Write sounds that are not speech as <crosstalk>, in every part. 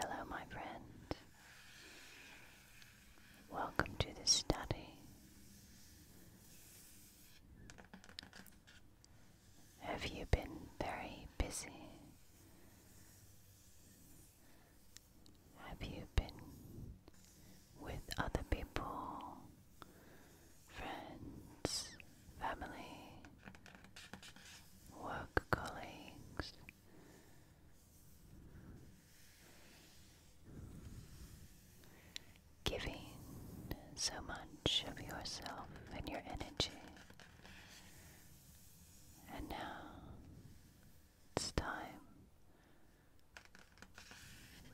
Hello, my friend. Welcome to this study. Have you been very busy? Have you been with other people? friends, family, work colleagues. Giving so much of yourself and your energy. And now it's time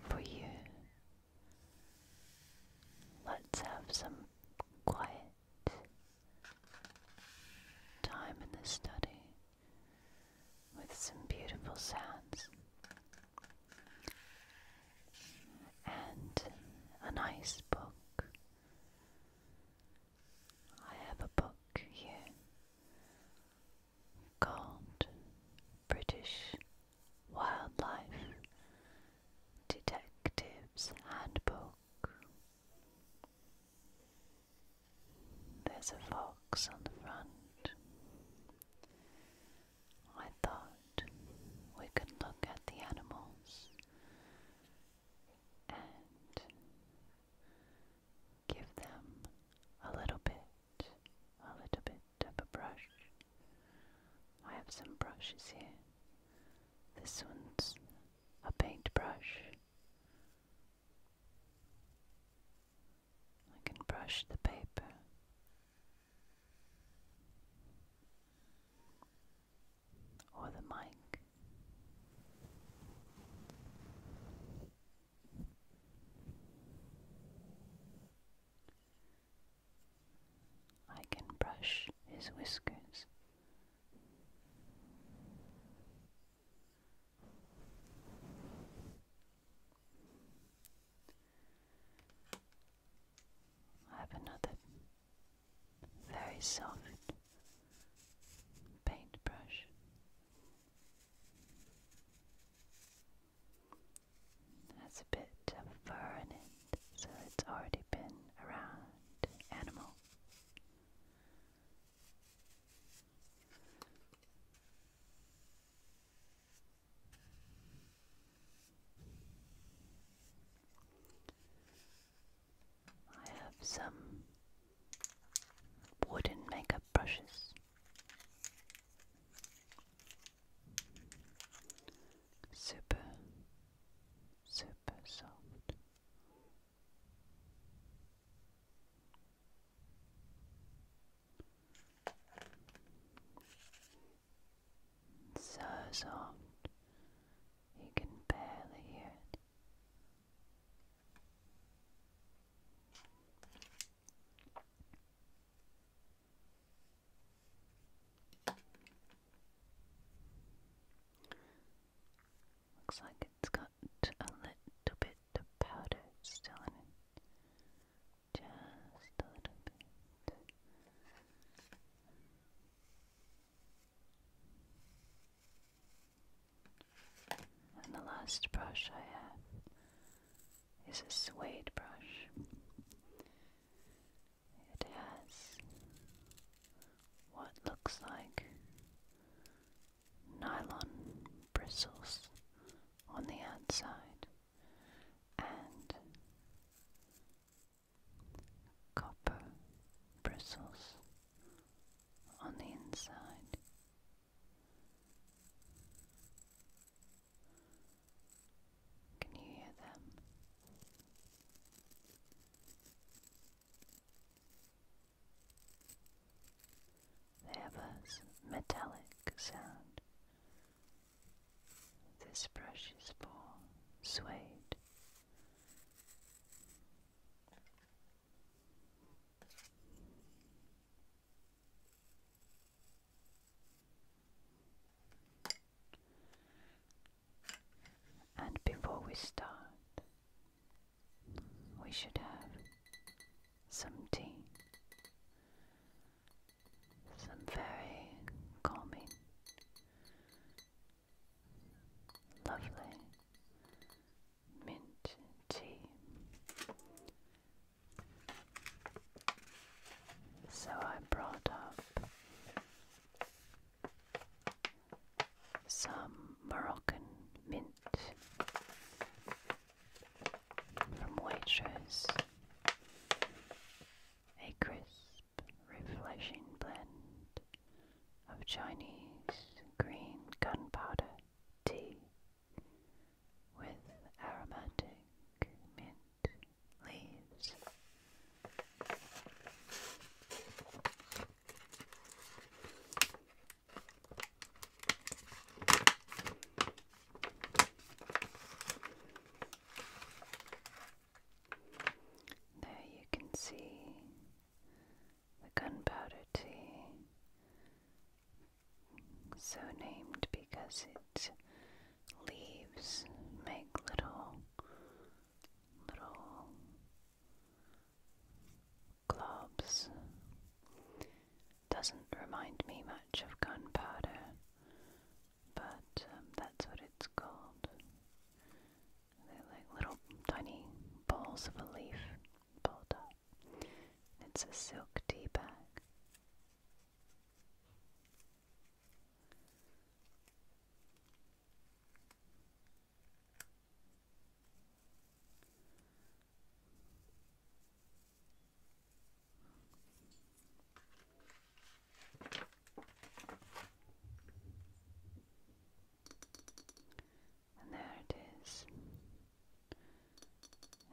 for you Let's have some quiet time in the study with some beautiful sounds and a nice book. I have a book here called British Wildlife Detective's Handbook. There's a fox on the front. I thought we could look at the animals and give them a little bit, a little bit of a brush I have some brushes here. This one's a paintbrush. I can brush the paper. Or the mic. I can brush his whiskers. I have another very soft paintbrush has a bit of fur in it, so it's already been around animal. I have some wooden makeup brushes. Super super soft. So soft you can barely hear it. Looks like it's got a little bit of powder still in it. Just a little bit. And the last brush I have is a suede brush. It has what looks like nylon bristles on the outside and copper bristles on the inside. Can you hear them? They have a metallic sound. This brush is for suede. And before we start, we should have some tea, some very calming, lovely mint tea. So I brought up some Moroccan mint from waiters, a crisp, refreshing blend of Chinese green gunpowder tea with aromatic mint leaves. There you can see the gunpowder tea, so named because its leaves make little little globs. Doesn't remind me much of gunpowder, but um, that's what it's called. They're like little tiny balls of a leaf pulled up. It's a silk tea bag. And there it is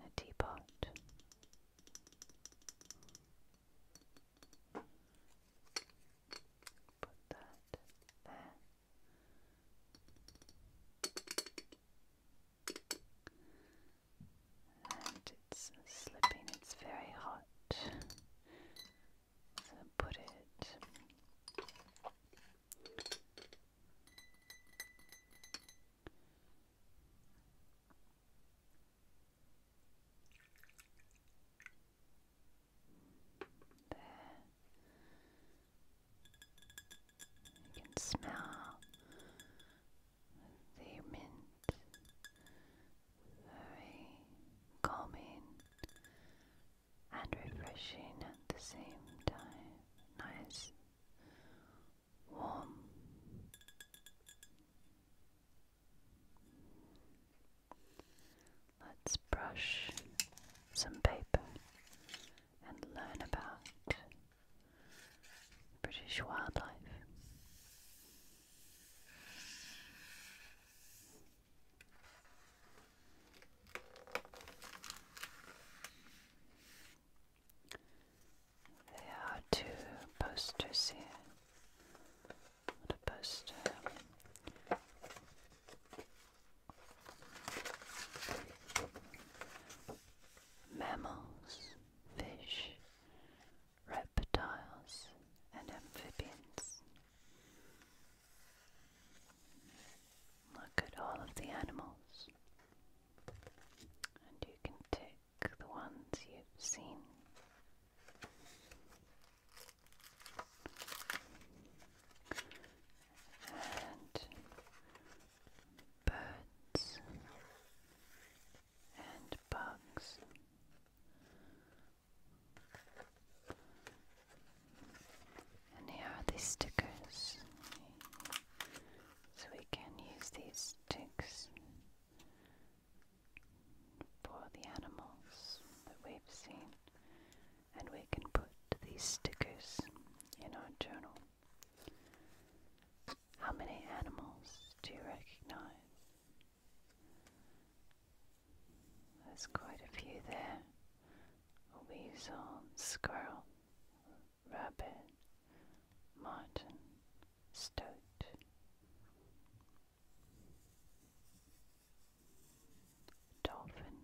a teapot. Put that there. And it's slipping, it's very hot. So put it there. You can smell the mint. Very calming and refreshing at the same time. Nice, warm, Let's brush some paper and learn about British wildlife. There are two posters here on a poster. Mammals, fish, reptiles, and amphibians. Look at all of the animals, and you can tick the ones you've seen and birds and bugs. And here are these stickers. So we can use these sticks for the animals that we've seen, and we can put these stickers in our journal. How many animals do you recognize? There's quite a few there weasel, squirrel, rabbit, marten, stoat, dolphin,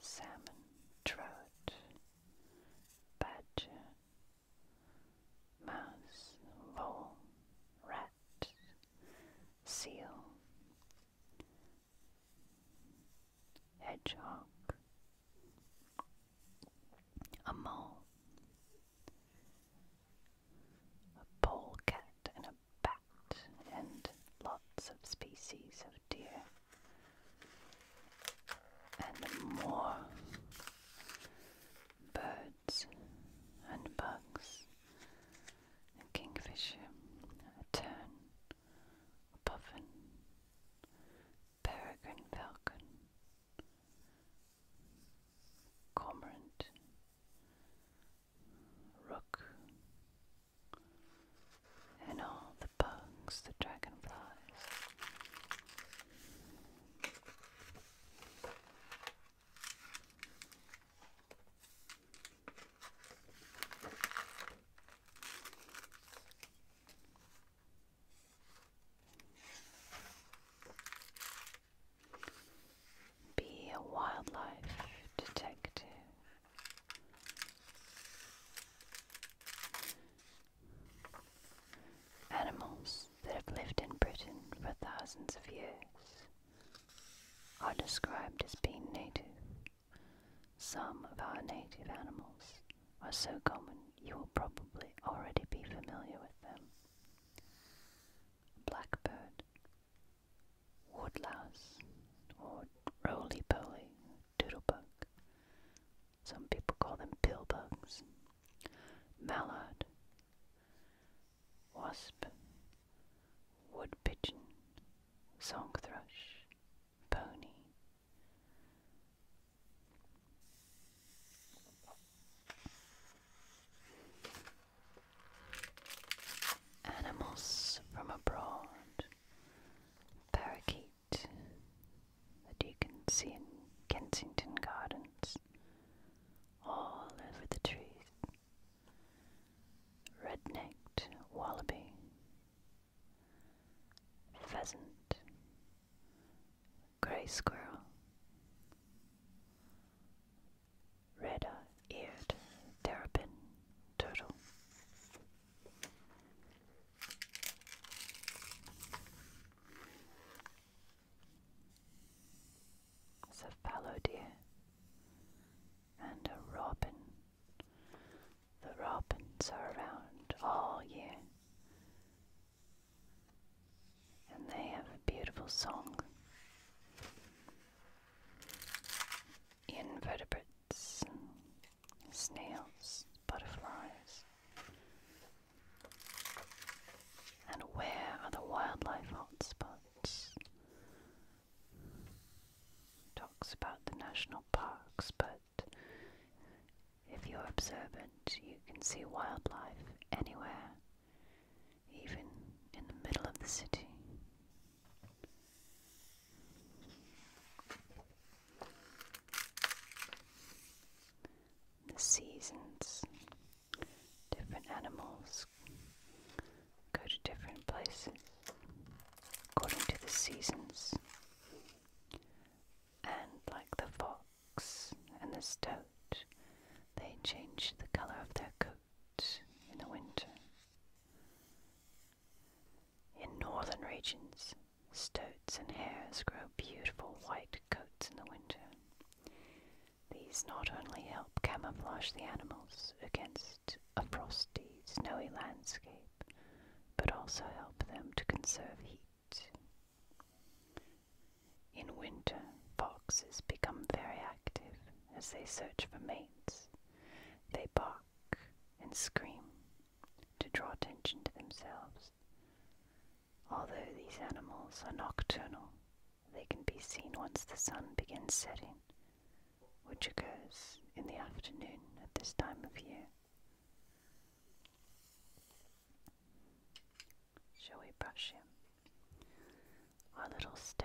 salmon, trout, badger, mouse, vole, rat, seal, hedgehog, a mole, a polecat and a bat, and lots of species of deer. And more birds and bugs, a kingfisher, a tern, a puffin, peregrine falcon, cormorant, rook, and all the bugs, the dragonflies. Be a wildlife detective. Animals that have lived in Britain for thousands of years are described as being native. Some of our native animals are so common you will probably already be familiar with them. Blackbird, woodlouse or roly poly doodlebug. Some people call them pill mallard, wasp, wood pigeon, song thrush, pony. Animals from abroad, parakeet that you can see in Kensington Gardens, all over the trees, red-necked wallaby, pheasant, grey squirrel, red-eared terrapin turtle. a fallow deer and a robin. The robins are around all year and they have a beautiful song. Invertebrates, snails, butterflies. And where are the wildlife hotspots? Talks about the national parks, but if you're observant, you can see wildlife anywhere even in the middle of the city. The seasons, different animals go to different places according to the seasons. And like the fox and the stoat, they change the color of their coat in the winter. In northern regions, stoats and hares grow beautiful white coats in the winter. These not only help camouflage the animals against a frosty, snowy landscape, but also help them to conserve heat. In winter, foxes become very active as they search for mates. They bark and scream to draw attention to themselves. Although these animals are nocturnal, they can be seen once the sun begins setting, which occurs in the afternoon at this time of year. Shall we brush him? our little stoat.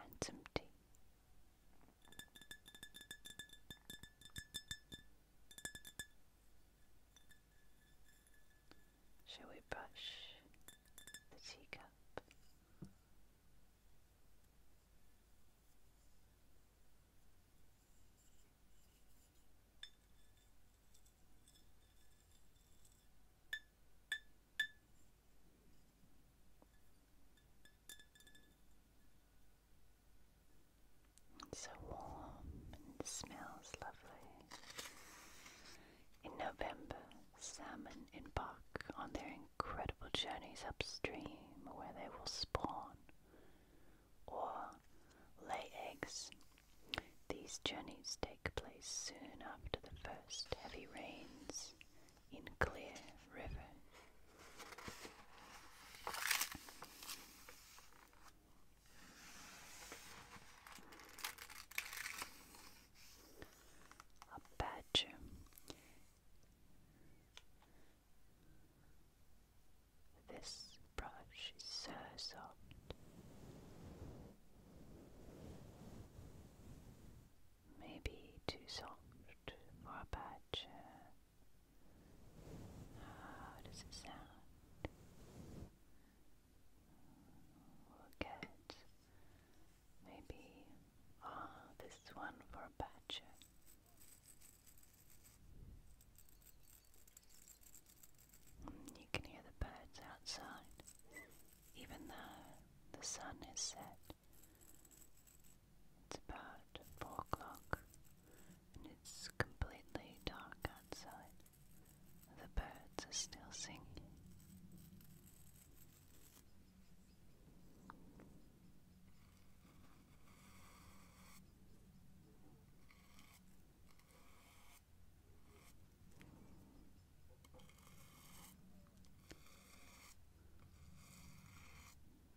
and some tea. Shall we brush the teacup? It's so warm and smells lovely. In November, salmon embark on their incredible journeys upstream where they will spawn or lay eggs. These journeys take place soon after the first heavy rains in Clear River. A badger this brush is so soft. Maybe too soft for a badger. Uh, how does it sound? We'll get maybe ah, this one for a badger. You can hear the birds outside, even though the sun is set. It's about four o'clock and it's completely dark outside. The birds are still singing.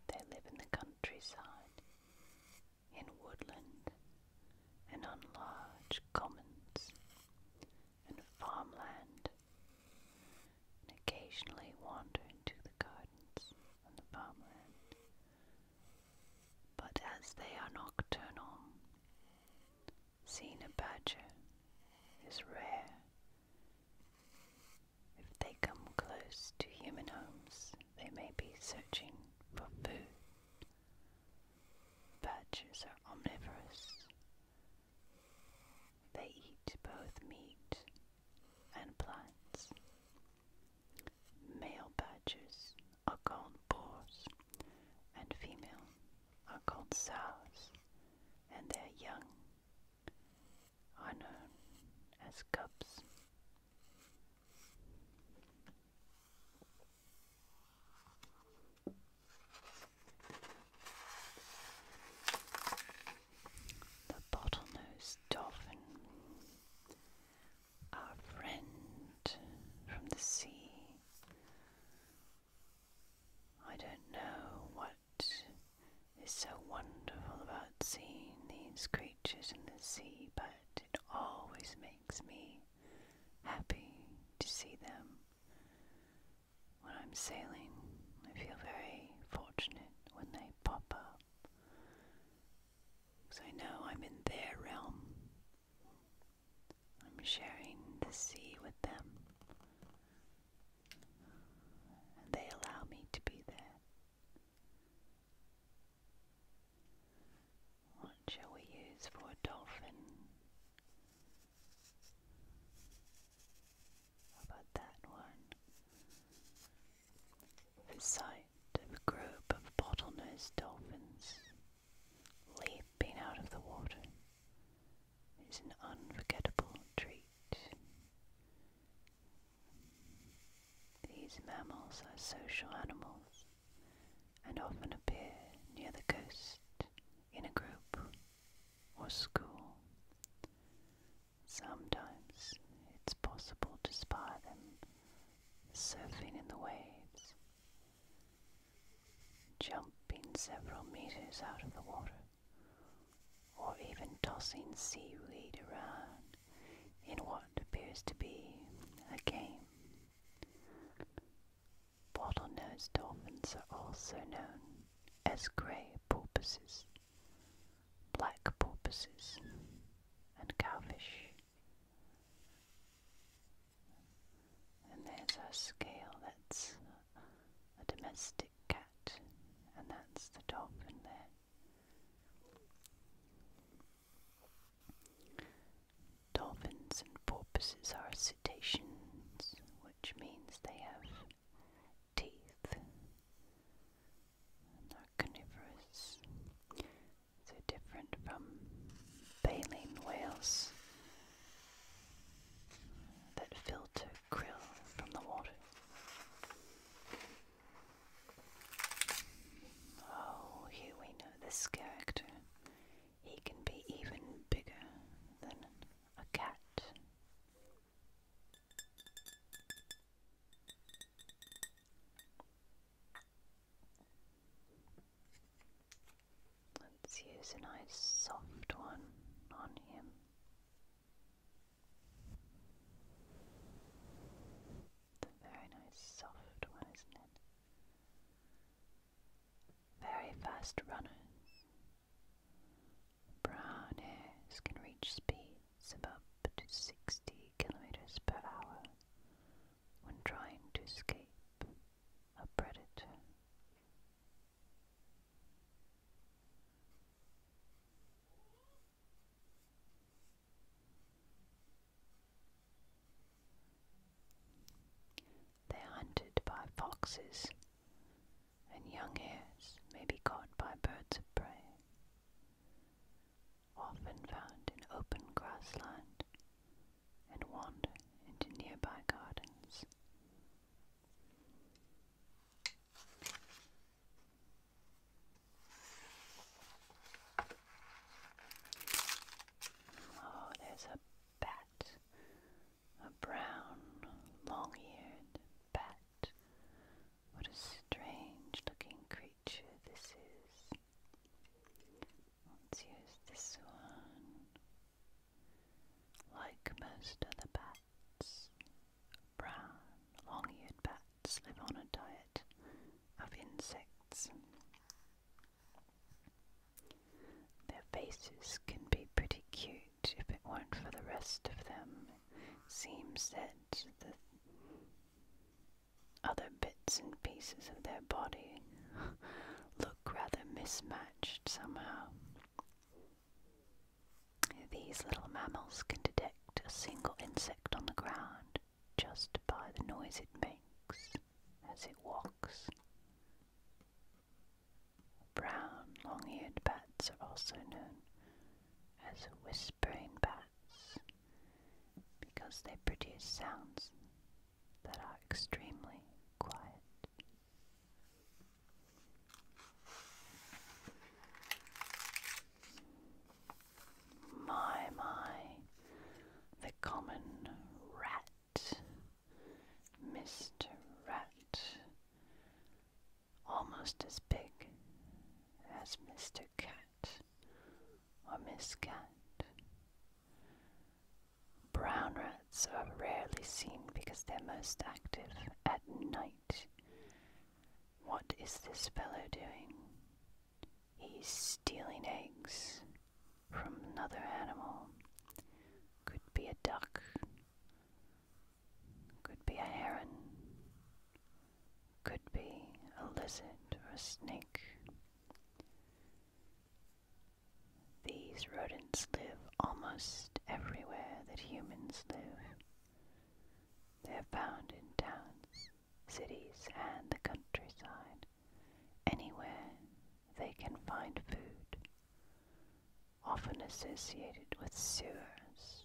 They live in the countryside, in woodland, and on large commons and farmland, and occasionally wander into the gardens but as they are nocturnal, seeing a badger is rare. If they come close to human homes, they may be searching for food. Badgers are omnivorous. They eat both meat and plants, Male badgers are called boars, and female are called sows, and their young are known as cubs the bottlenose dolphin, our friend from the sea. I don't know what is so wonderful about seeing these creatures in the sea, but it always makes me happy to see them. When I'm sailing, I feel very fortunate when they pop up because I know I'm in their realm. I'm sharing the sea with them. And they allow me to be there. What shall we use for a dolphin? about that one? The sight of a group of bottlenose dolphins leaping out of the water is an unforgettable treat. These mammals are social animals and often appear near the coast in a group or school. Sometimes it's possible to spy them surfing in the waves, jumping several meters out of the water, or even tossing seaweed around in what appears to be a game. Bottlenose dolphins are also known as grey porpoises black porpoises, and cowfish. And there's our scale, that's a domestic cat, and that's the dolphin there. Dolphins and porpoises are cetaceans, which means they have teeth and carnivorous. they different from baleen whales that filter krill from the water. Oh, here we know this character. He can be even bigger than a cat. Let's use a nice soft one on him. a very nice soft one, isn't it? Very fast runners. Brown hairs can reach speed of up 60 kilometers per hour when trying to escape a predator. They are hunted by foxes, and young hares may be caught by birds of prey often found in open grassland and wander into nearby gardens. Oh, there's a bat, a brown, long eared bat. What a strange looking creature creature this is. Let's use this one. Like most other bats, brown, long-eared bats live on a diet of insects. Their faces can be pretty cute if it weren't for the rest of them. Seems that the other bits and pieces of their body <laughs> look rather mismatched somehow. These little mammals can detect a single insect on the ground just by the noise it makes as it walks. Brown long eared bats are also known as whistling brain bats because they produce sounds that are extremely quiet. My, my, the common rat, Mr. Rat, almost as big as Mr. Cat or miscat. Brown rats are rarely seen because they're most active at night. What is this fellow doing? He's stealing eggs from another animal. Could be a duck, could be a heron, could be a lizard or a snake. These rodents live almost everywhere that humans live. They are found in towns, cities, and the countryside. Anywhere they can find food, often associated with sewers,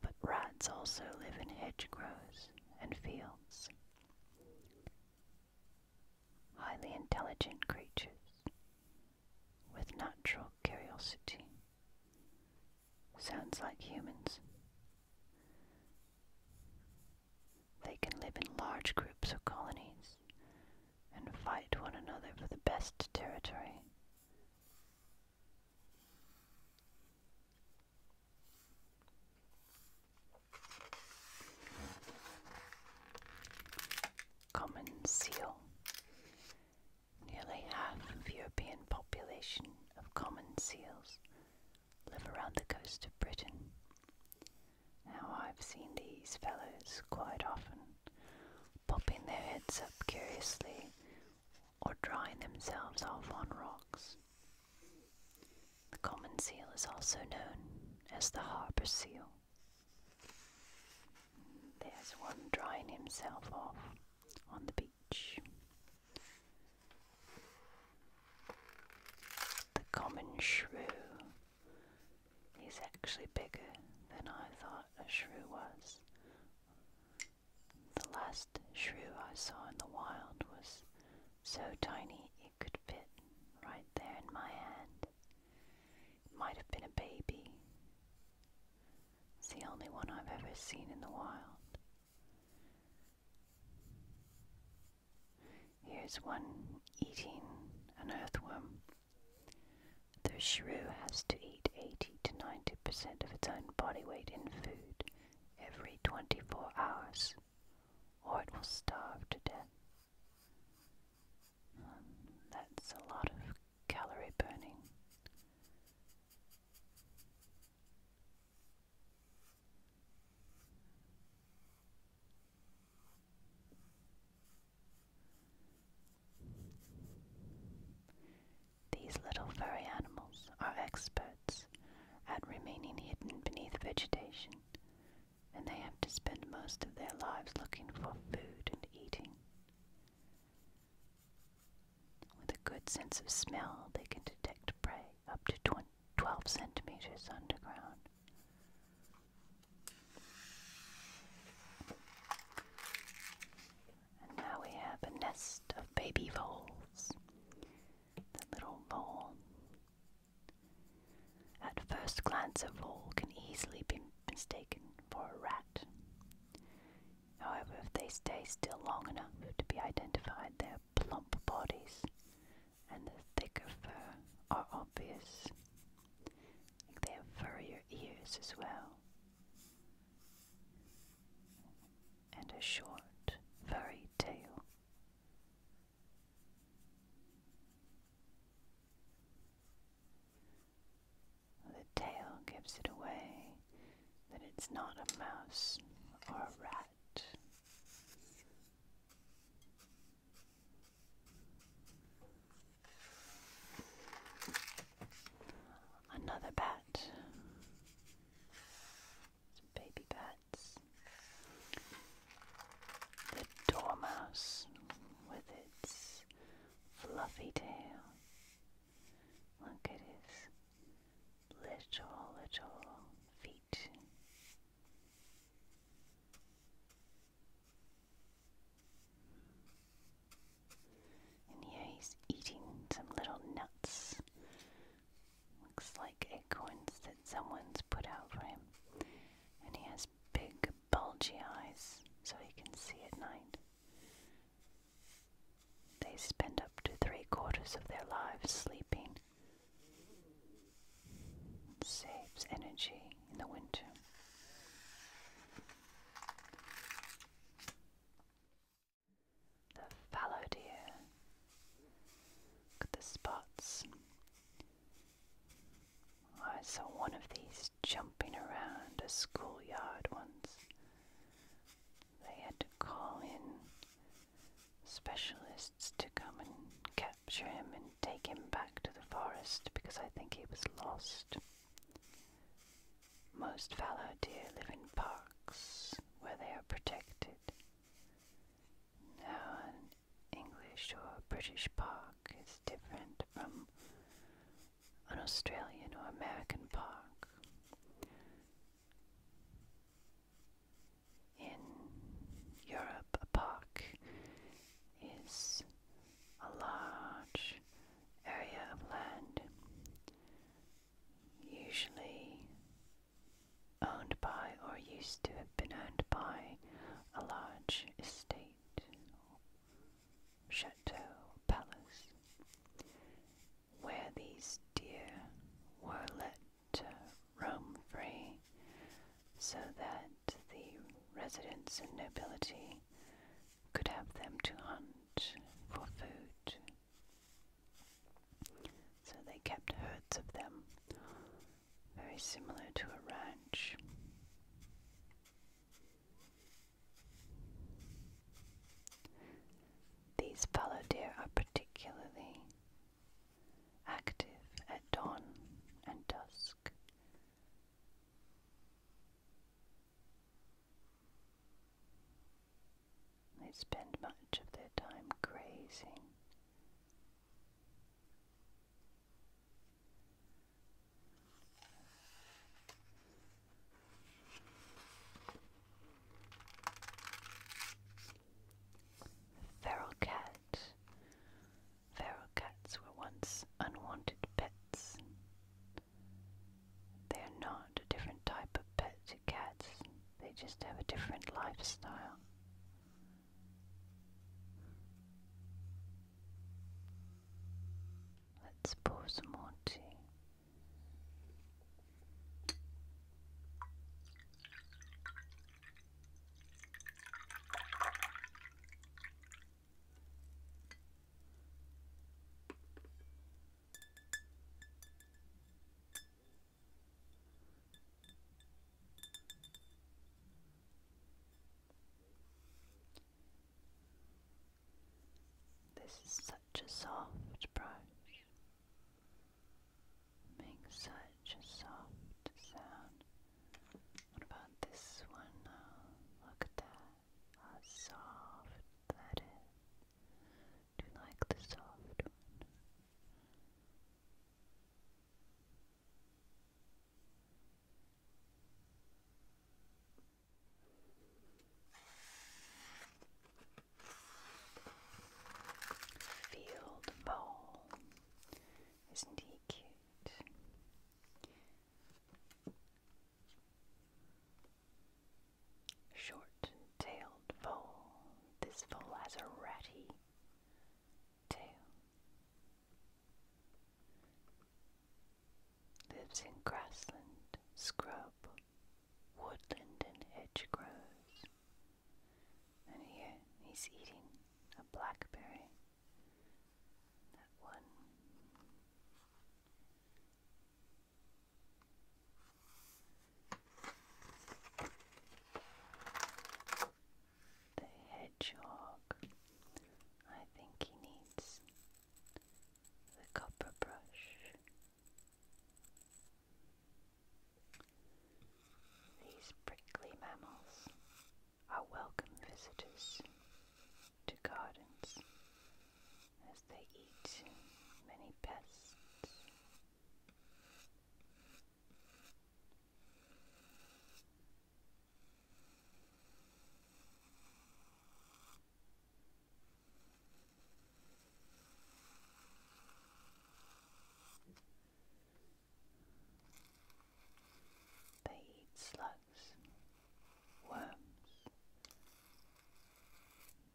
but rats also live in hedgerows and fields. Highly intelligent creatures with natural curiosity. Sounds like humans. They can live in large groups or colonies and fight one another for the best territory. Common seal. Nearly half of European population of common seals live around the coast of Britain. Now I've seen these fellows quite often popping their heads up curiously or drying themselves off on rocks. The common seal is also known as the harbor seal. There's one drying himself off on the beach. The common shrew is actually bigger than I thought a shrew was. The last shrew I saw in the wild was so tiny it could fit right there in my hand. It might have been a baby. It's the only one I've ever seen in the wild. Here's one eating an earthworm. The shrew has to eat 80 to 90% of its own body weight in food every 24 hours, or it will starve to death. Um, that's a lot of calorie burning. These little furry animals are experts at remaining hidden beneath vegetation, and they have to spend most of their lives looking for food and eating. With a good sense of smell, they can detect prey up to 12 centimeters underground. And now we have a nest of baby voles the little mole. At first glance, a mole can easily be mistaken for a rat. However, if they stay still long enough to be identified, their plump bodies and their thicker fur are obvious. They have furrier ears as well and a short, furry tail. The tail gives it away that it's not a mouse or a rat. Another bat baby bats. The dormouse with its fluffy tail. Look at his little, little feet. And here he's eating some little nuts Looks like acorns that someone's put out for him. And he has big, bulgy eyes so he can see at night. They spend up to three quarters of their lives sleeping. saves energy in the winter the fallow deer. the spots. Oh, I saw one of these jumping around a schoolyard once. They had to call in specialists to come and capture him and take him back to the forest because I think he was lost. Most fallow deer live in parks where they are protected located. Now, an English or British park is different from an Australian or American park. In Europe, a park is a large area of land usually owned by or used to have been owned by a large estate, chateau, palace, where these deer were let to roam free so that the residents and nobility could have them to hunt for food so they kept herds of them, very similar to a ranch. These fallow deer are particularly active at dawn and dusk. They spend much of their time grazing. Feral cat. Feral cats were once unwanted pets. They are not a different type of pet cats, they just have a different lifestyle. Let's pour some more tea. This is such a soft brush, makes such a soft sound. What about this one oh, Look at that, how soft that is. Do you like the soft one? Field ball. Isn't he cute? Short-tailed vole. This vole has a ratty tail. Lives in grassland, scrub, woodland, and hedge grows. And here he's eating a blackberry. That one. The hedgehog. I think he needs the copper brush. These prickly mammals are welcome visitors to gardens as they eat many pests they eat slugs, worms,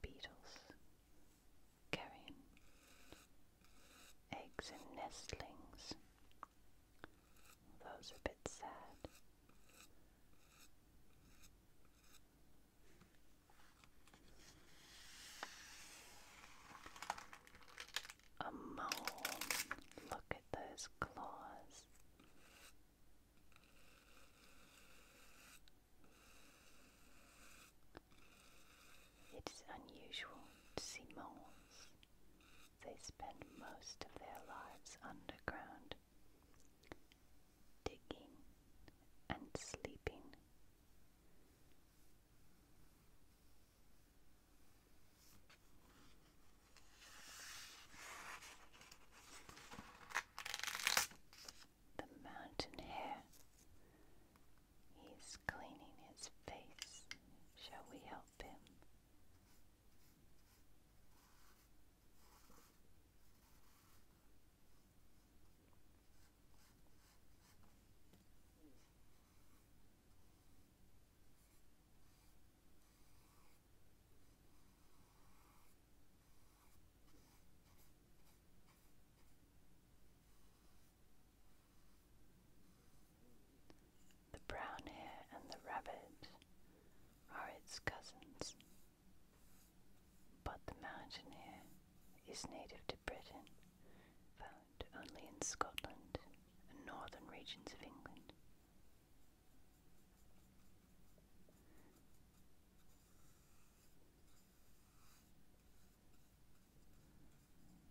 beetles, carrion, eggs and nestlings. Those are a bit sad. A mole. Look at those claws. It is unusual to see moles. They spend most of their lives underground, digging and sleeping. The mountain hare He's cleaning his face. Shall we help him? The brown hare and the rabbit are its cousins, but the mountain hare is native to Britain, found only in Scotland and northern regions of England.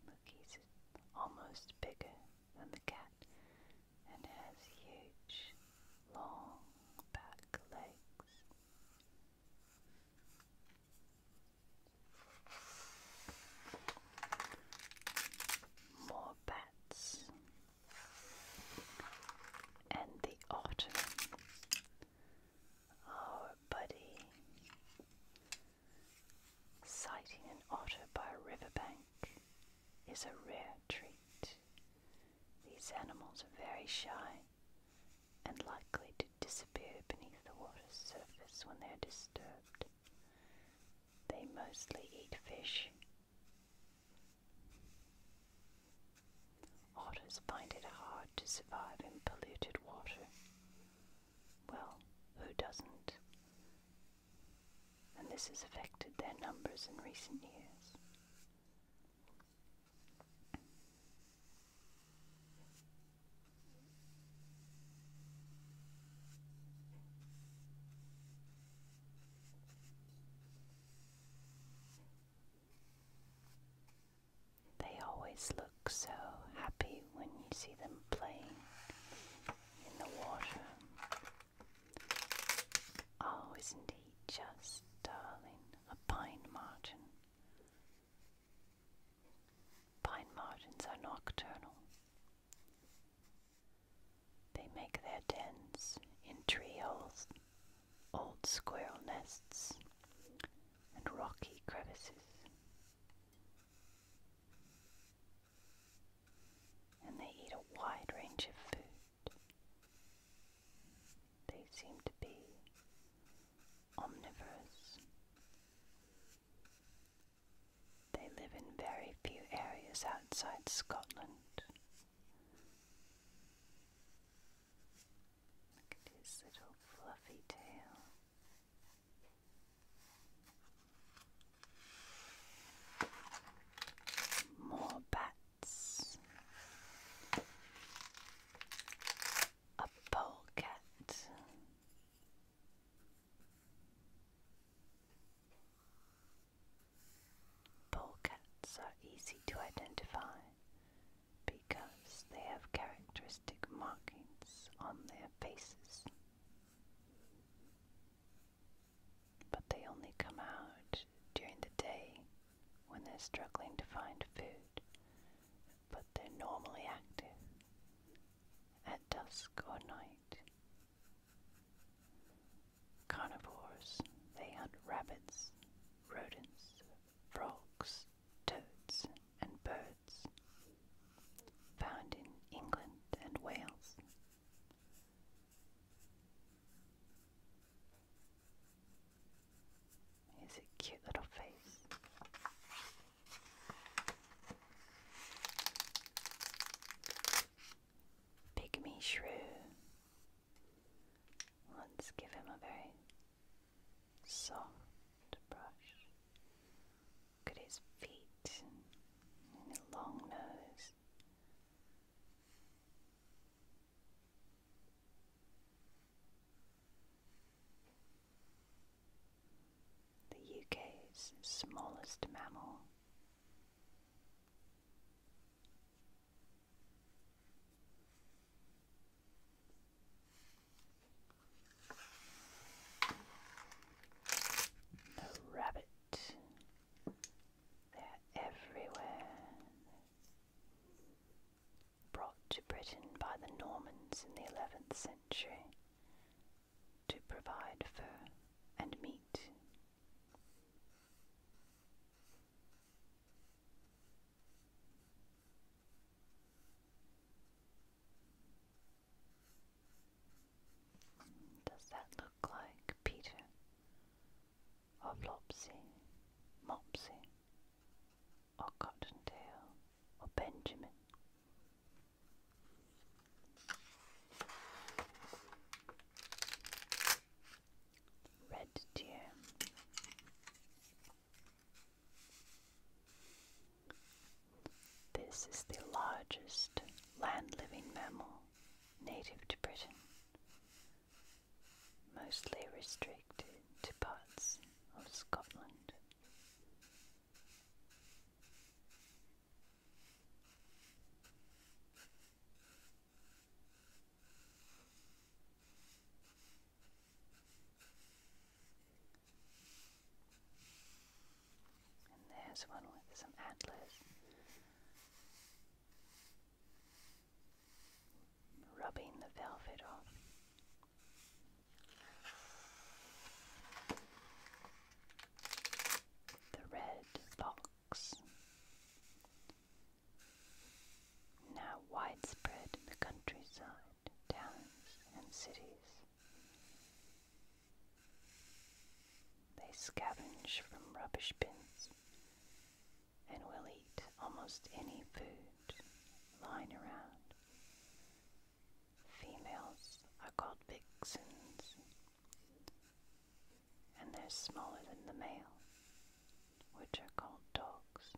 Look, he's almost bigger than the cat and has huge, long back legs. More bats and the otter. Our buddy. Sighting an otter by a riverbank is a rare treat. These animals are very shy and likely to disappear beneath the water's surface when they are disturbed. They mostly eat fish. Otters find it hard to survive in polluted water well, who doesn't? And this has affected their numbers in recent years. They always look so happy when you see them playing in the water. Oh, isn't he just darling? A pine martin. Pine martins are nocturnal. They make their dens in tree holes, old squirrel nests, and rocky crevices. And they eat a wide range of food. They seem to be omnivorous. They live in very few areas outside Scotland. Look at his little fluffy tail. More bats. A polecat. Polecats are easy to identify because they have characteristic markings on their faces. But they only come out during the day when they're struggling to find food, but they're normally active at dusk or night. Carnivores, they hunt rabbits, rodents, frogs, toads, and birds, found in England and Wales. Here's a cute little face. Pygmy shrew. Let's give him a very soft brush. Look at his feet and his long nose. The UK's smallest mammal. The rabbit. They're everywhere. Brought to Britain by the Normans in the 11th century to provide fur and meat. Does that look like Peter? Or Flopsy? Mopsy? Or Cottontail? Or Benjamin? Red deer. This is the largest land living mammal native to Britain, mostly restricted to parts of Scotland. And there's one with some antlers. Rubbing the velvet off. The red box. Now widespread in the countryside, towns, and cities. They scavenge from rubbish bins and will eat almost any food lying around. Females are called vixens and they're smaller than the male, which are called dogs.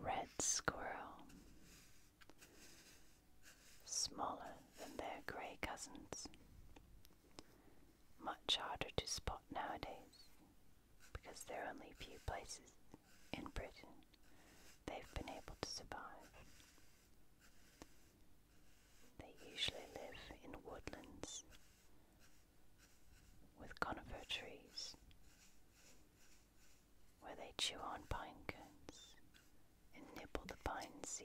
Red squirrel, smaller than their grey cousins, much harder to spot nowadays because there are only a few places in Britain they've been able to survive. They usually live in woodlands with conifer trees where they chew on pine cones and nibble the pine seeds.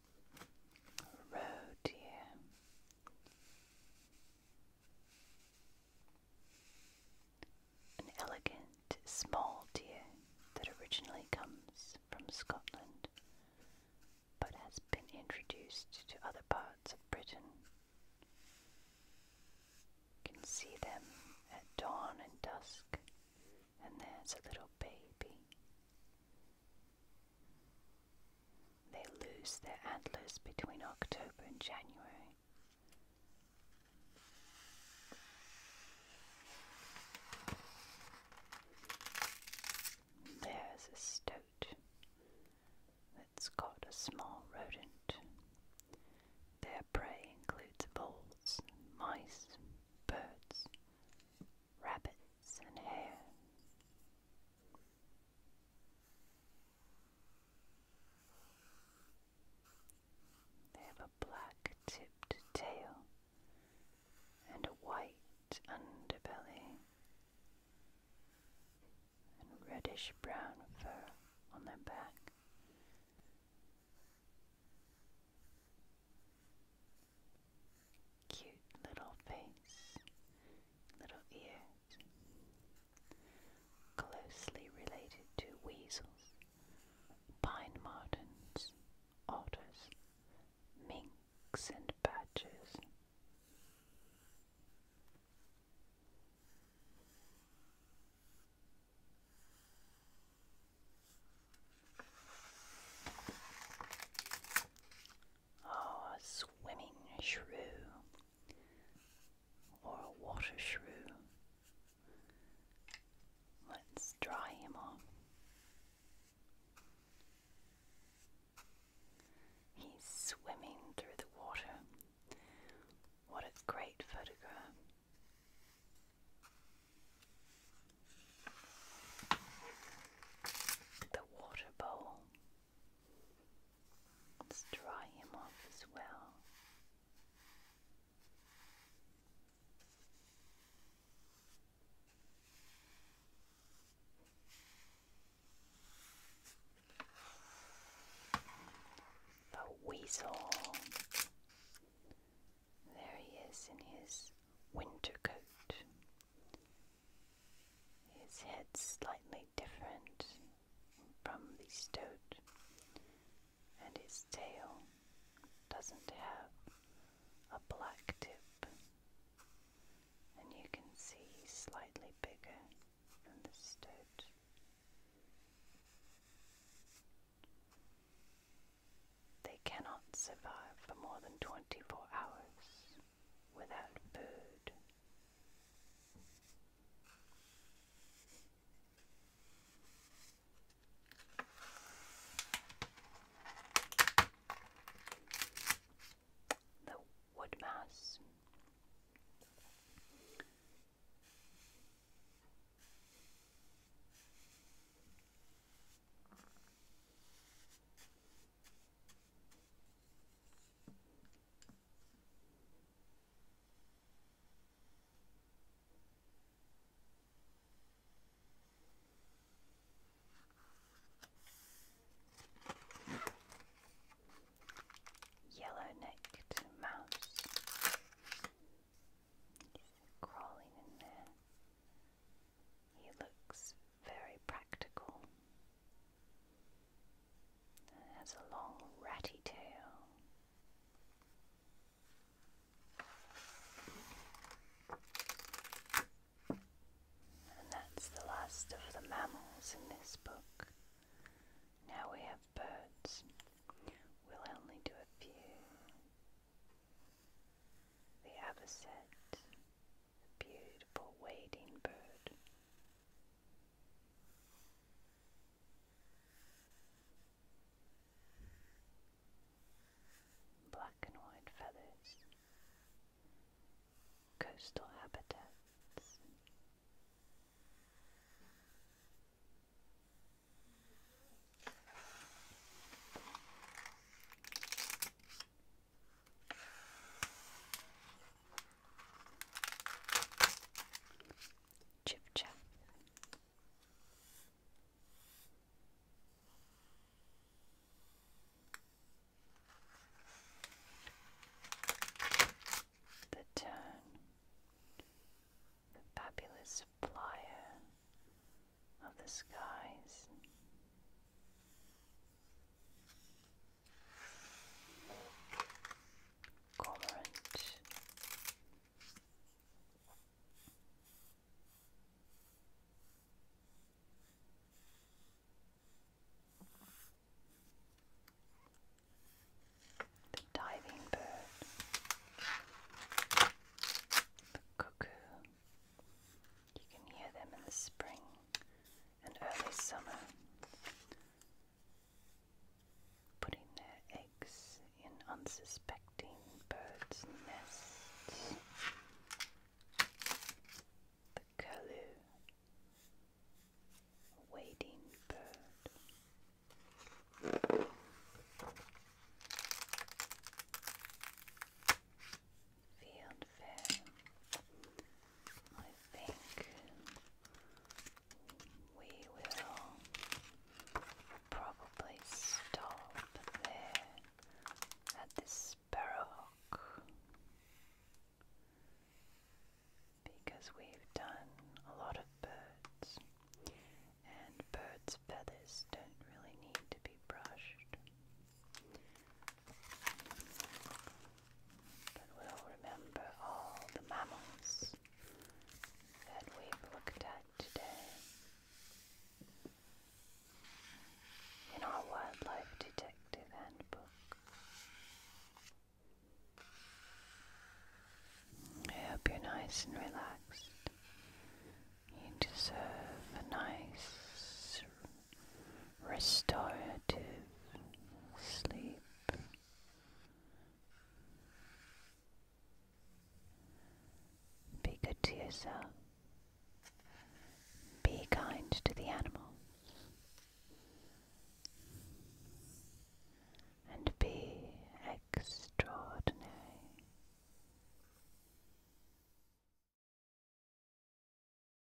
road An elegant small deer that originally comes from Scotland but has been introduced to other parts of Britain. can see them at dawn and dusk, and there's a little baby. They lose their antlers between October and January. There's a stoat that's got a small rodent. Their prey includes voles, mice, birds, rabbits and hares. They have a black tipped tail and a white underbelly and reddish brown fur on their back. Cute little face, little ears, closely related to weasels, pine martens, otters, minks, and badgers a ah, swimming shrew or a water shrew. Let's dry him off. He's swimming through the water. What a great photograph. The water bowl. Let's dry him off as well. The weasel. There he is in his winter coat. His head's slightly different from the stoat, and his tail doesn't have a black tip, and you can see slightly bigger than the stoat. They cannot survive for more than 24 hours without food. The wood mouse. Yellow-necked mouse. crawling in there. He looks very practical. It has a long ratty tail. And that's the last of the mammals in this book. Now we have birds. We'll only do a few. The avocet, beautiful wading bird. Black and white feathers, coastal habitats. Chip The turn, the fabulous flyer of the skies, Cormorant. The diving bird, the cuckoo, you can hear them in the spring and early summer putting their eggs in unsuspecting birds' nests. The curlew, a wading bird. Field Fair. I think we will probably stop there at this Sparrowhawk because we've done a lot of birds and birds' feathers don't really need to be brushed. But we'll remember all the mammals that we've looked at today. In our Wildlife Detective Handbook. I hope you're nice and relaxed. You deserve a nice, restorative sleep. Be good to yourself. Be kind to the animals. And be extraordinary.